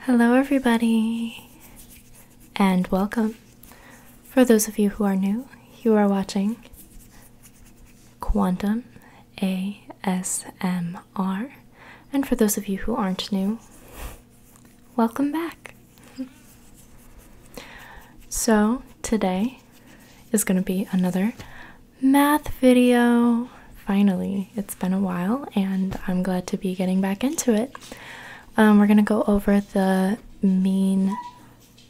Hello, everybody, and welcome. For those of you who are new, you are watching Quantum ASMR, and for those of you who aren't new, welcome back. So, today is going to be another math video. Finally, it's been a while and I'm glad to be getting back into it. Um, we're going to go over the mean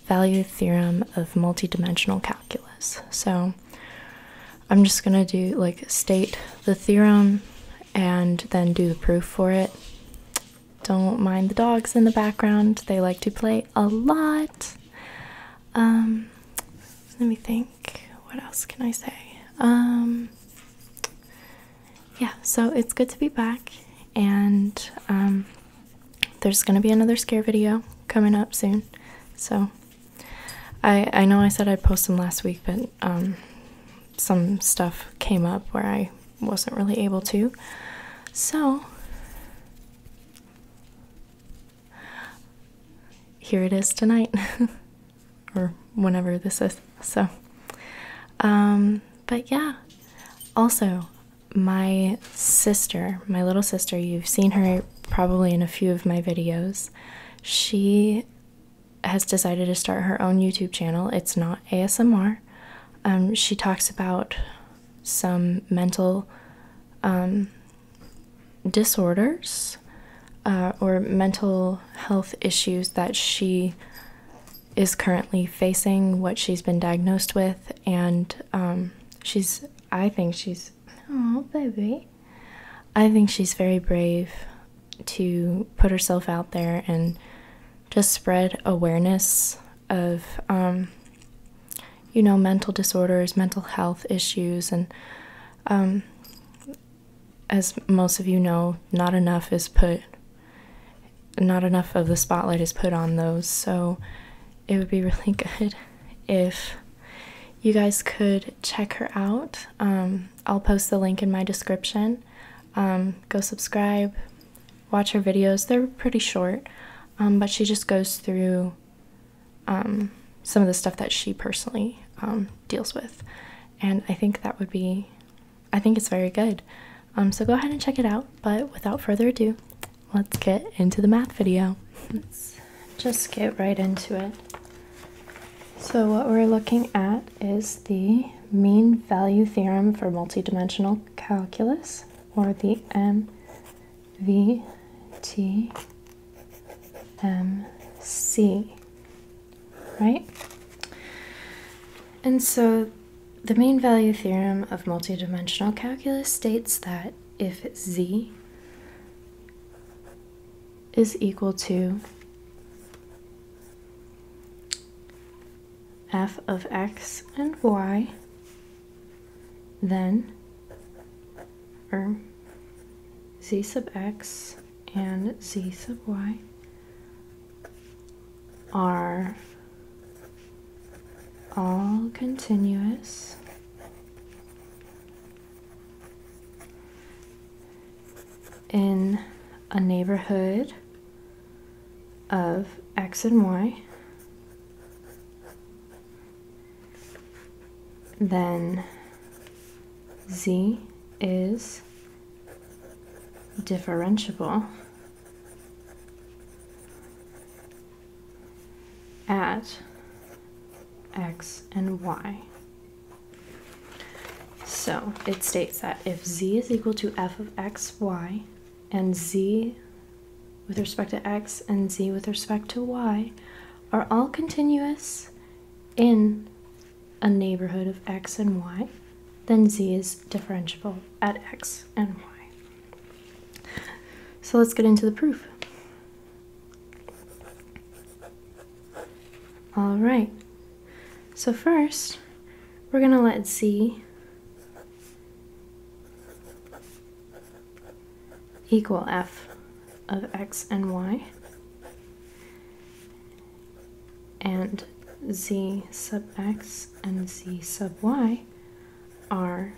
value theorem of multidimensional calculus. So I'm just going to do like state the theorem and then do the proof for it. Don't mind the dogs in the background, they like to play a lot. Um, let me think, what else can I say? Um, yeah, so it's good to be back, and um, there's gonna be another scare video coming up soon. So I I know I said I'd post them last week, but um, some stuff came up where I wasn't really able to. So here it is tonight. or whenever this is. So, um, but yeah. Also, my sister, my little sister, you've seen her probably in a few of my videos. She has decided to start her own YouTube channel. It's not ASMR. Um, she talks about some mental um, disorders uh, or mental health issues that she is currently facing, what she's been diagnosed with, and um, she's, I think she's, oh, baby. I think she's very brave to put herself out there and just spread awareness of, um, you know, mental disorders, mental health issues, and um, as most of you know, not enough is put, not enough of the spotlight is put on those. So it would be really good if you guys could check her out. Um, I'll post the link in my description. Um, go subscribe, watch her videos. They're pretty short, um, but she just goes through um, some of the stuff that she personally um, deals with. And I think that would be, I think it's very good. Um, so go ahead and check it out. But without further ado, let's get into the math video. let's just get right into it. So what we're looking at is the mean value theorem for multidimensional calculus, or the MVT MC, right? And so the mean value theorem of multidimensional calculus states that if z is equal to f of x and y, then, or z sub x and z sub y are all continuous in a neighborhood of x and y then z is differentiable at x and y. So it states that if z is equal to f of x, y, and z with respect to x and z with respect to y are all continuous in a neighborhood of x and y, then z is differentiable at x and y. So let's get into the proof. All right. So first, we're going to let z equal f of x and y and z sub x and z sub y are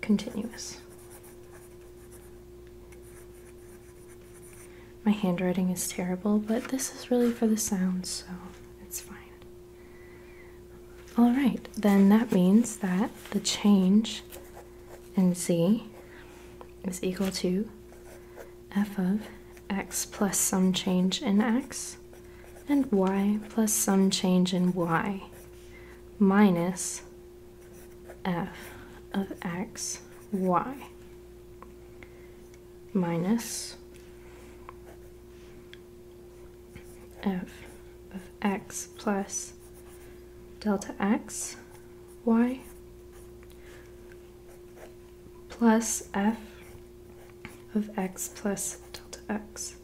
continuous. My handwriting is terrible, but this is really for the sound, so it's fine. Alright, then that means that the change in z is equal to f of x plus some change in x and y plus some change in y minus f of x y minus f of x plus delta x y plus f of x plus delta x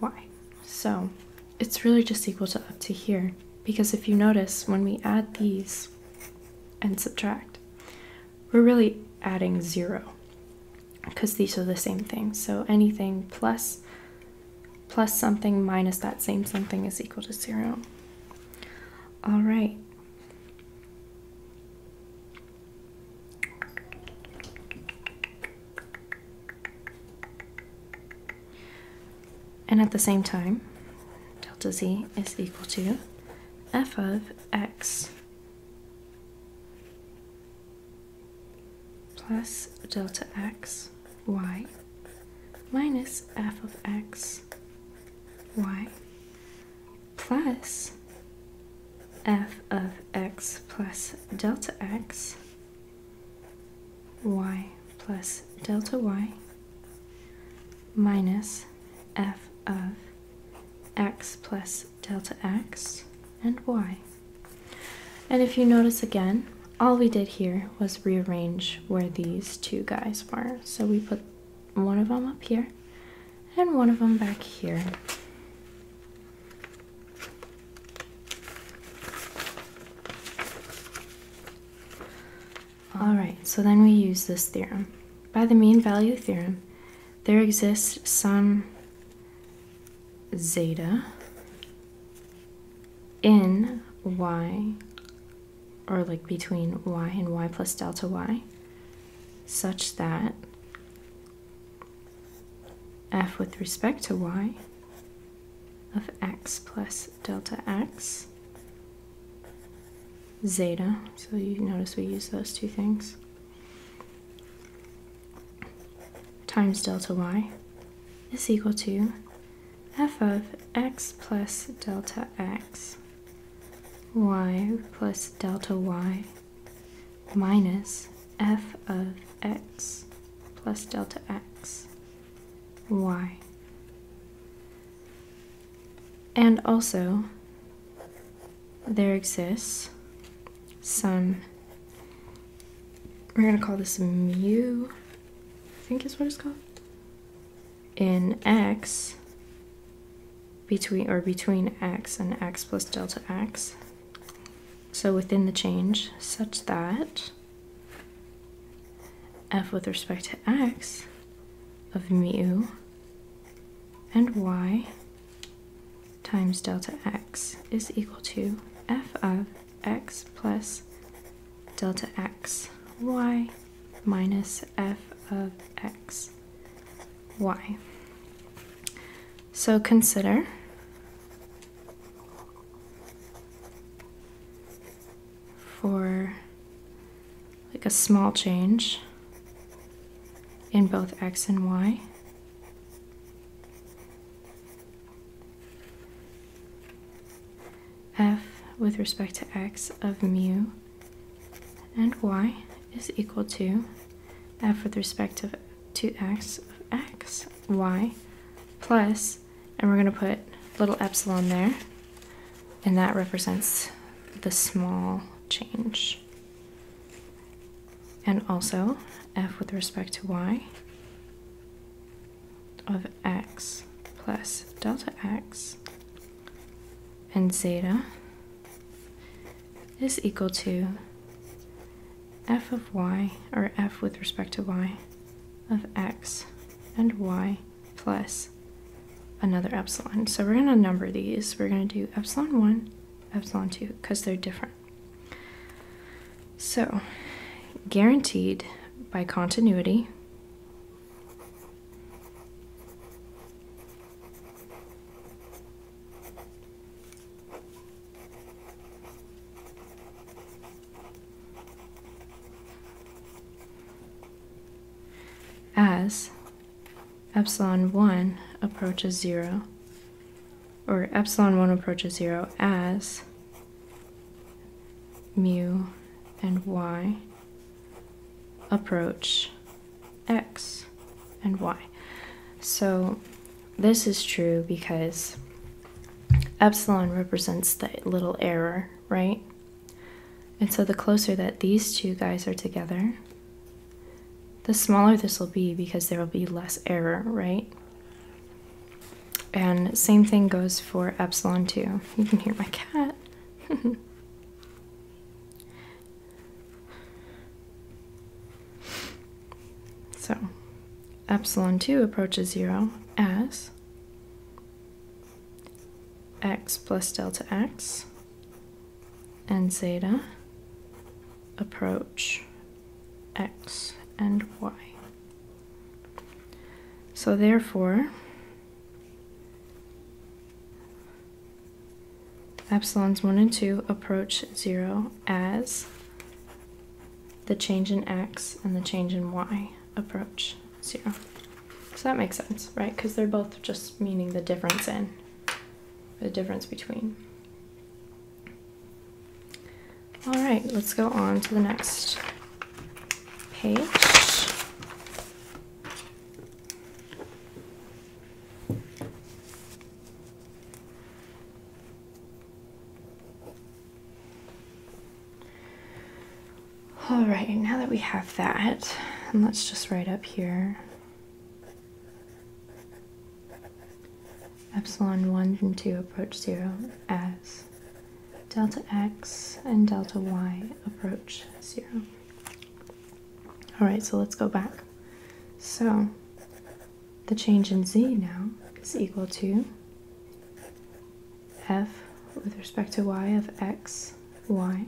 y. So it's really just equal to up to here because if you notice when we add these and subtract, we're really adding zero because these are the same thing. So anything plus plus something minus that same something is equal to zero. All right. And at the same time, delta z is equal to f of x plus delta x y minus f of x y plus f of x plus delta x y plus delta y minus f of x plus delta x and y. And if you notice again, all we did here was rearrange where these two guys were. So we put one of them up here and one of them back here. Alright, so then we use this theorem. By the mean value theorem, there exists some zeta in y, or like between y and y plus delta y, such that f with respect to y of x plus delta x zeta, so you notice we use those two things, times delta y is equal to f of x plus delta x y plus delta y minus f of x plus delta x y and also there exists some we're going to call this mu I think is what it's called, in x between or between x and x plus delta x. So within the change such that f with respect to x of mu and y times delta x is equal to f of x plus delta x y minus f of x y. So consider for like a small change in both x and y f with respect to x of mu and y is equal to f with respect to, to x of x, y, plus, and we're going to put little epsilon there, and that represents the small change. And also f with respect to y of x plus delta x and zeta is equal to f of y, or f with respect to y, of x and y plus another epsilon. So we're going to number these. We're going to do epsilon 1, epsilon 2, because they're different. So, guaranteed by continuity. As epsilon 1 approaches 0, or epsilon 1 approaches 0 as mu and y approach x and y. So this is true because epsilon represents that little error, right? And so the closer that these two guys are together, the smaller this will be because there will be less error, right? And same thing goes for epsilon 2. You can hear my cat. so epsilon 2 approaches 0 as x plus delta x and zeta approach x and y. So therefore, epsilons 1 and 2 approach 0 as the change in x and the change in y approach 0. So that makes sense, right? Because they're both just meaning the difference in, the difference between. All right, let's go on to the next page. All right, now that we have that, let's just write up here epsilon 1 and 2 approach 0 as delta x and delta y approach 0. Alright, so let's go back. So the change in z now is equal to f with respect to y of x, y,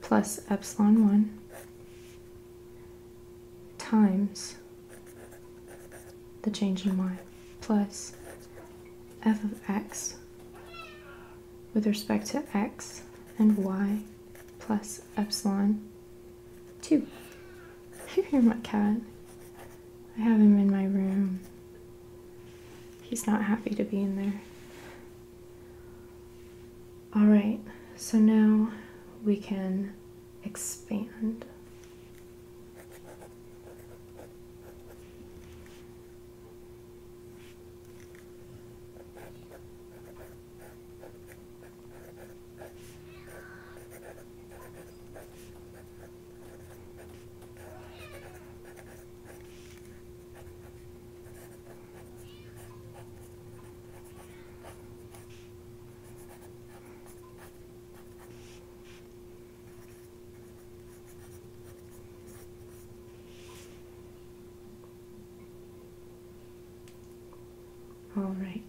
plus epsilon 1 times the change in y plus f of x with respect to x and y plus epsilon 2. You hear my cat? I have him in my room. He's not happy to be in there. Alright, so now we can expand. All right.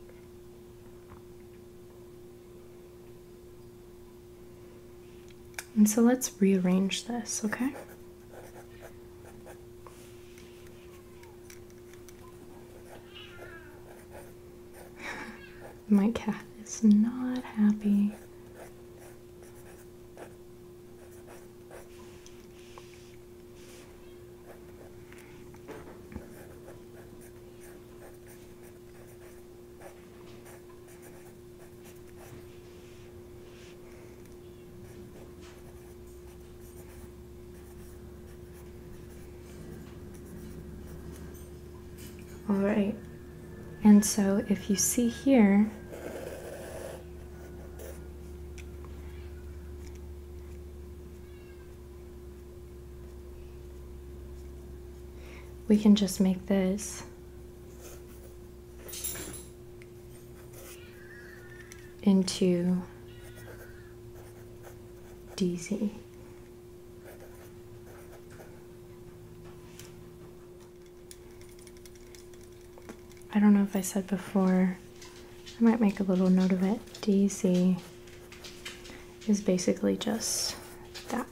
And so let's rearrange this, okay? My cat is not happy. All right, and so if you see here, we can just make this into DZ. I don't know if I said before, I might make a little note of it. DZ is basically just that,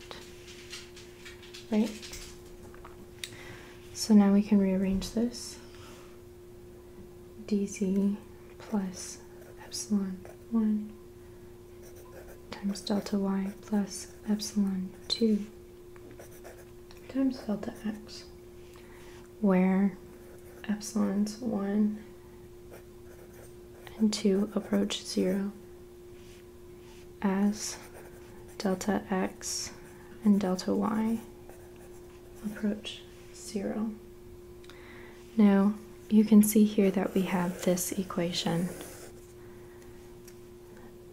right? So now we can rearrange this. DZ plus epsilon 1 times delta y plus epsilon 2 times delta x, where epsilons 1 and 2 approach 0 as delta x and delta y approach 0. Now you can see here that we have this equation.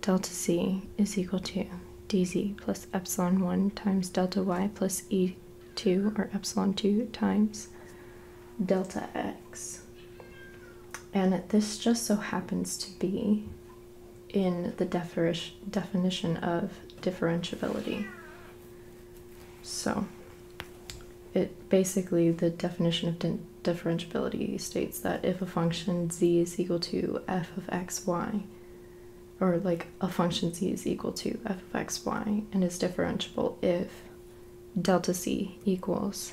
Delta z is equal to dz plus epsilon 1 times delta y plus e2 or epsilon 2 times delta x. And this just so happens to be in the definition of differentiability. So it basically the definition of differentiability states that if a function z is equal to f of x y or like a function z is equal to f of x y and is differentiable if delta c equals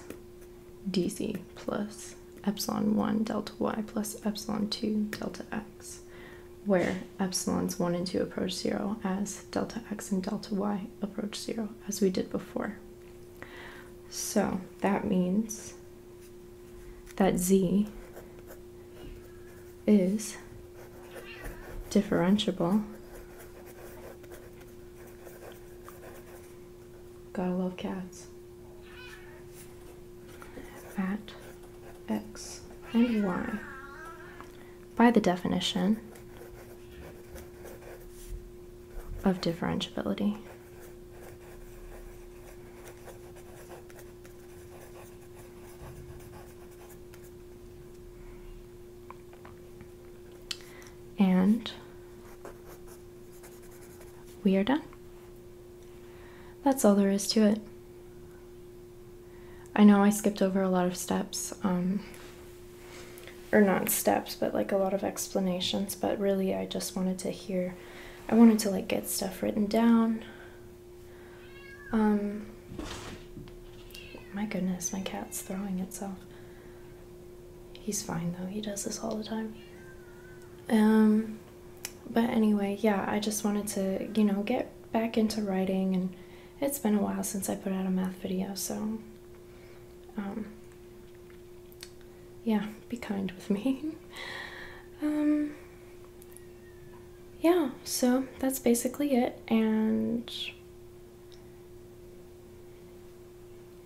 dz plus epsilon 1 delta y plus epsilon 2 delta x where epsilons 1 and 2 approach 0 as delta x and delta y approach zero as we did before. So that means that z is differentiable. Gotta love cats. At x and y by the definition of differentiability. And we are done. That's all there is to it. I know I skipped over a lot of steps, um, or not steps, but like a lot of explanations, but really I just wanted to hear, I wanted to like get stuff written down. Um, my goodness, my cat's throwing itself. He's fine though, he does this all the time. Um, but anyway, yeah, I just wanted to, you know, get back into writing and it's been a while since I put out a math video, so um, yeah, be kind with me. um, yeah, so that's basically it, and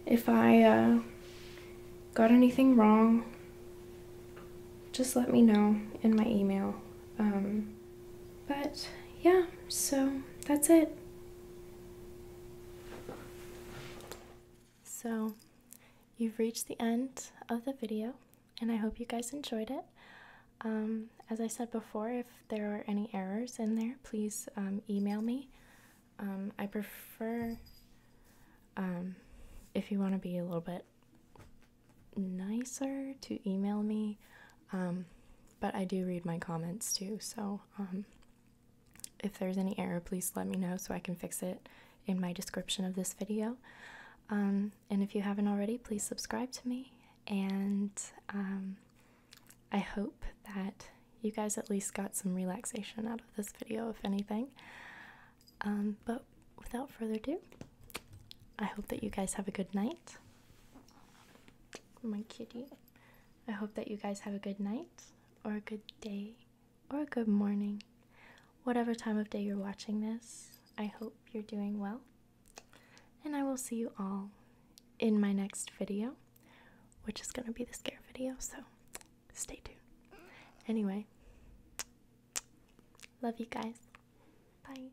if I uh, got anything wrong, just let me know in my email. Um, but yeah, so that's it. So you've reached the end of the video, and I hope you guys enjoyed it. Um, as I said before, if there are any errors in there, please um, email me. Um, I prefer if you want to be a little bit nicer to email me um, but I do read my comments too, so um, if there's any error, please let me know so I can fix it in my description of this video. Um, and if you haven't already, please subscribe to me. And um, I hope that you guys at least got some relaxation out of this video, if anything. but without further ado, I hope that you guys have a good night my kitty. I hope that you guys have a good night, or a good day, or a good morning. Whatever time of day you're watching this, I hope you're doing well. And I will see you all in my next video, which is going to be the scare video, so stay tuned. Anyway, love you guys. Bye.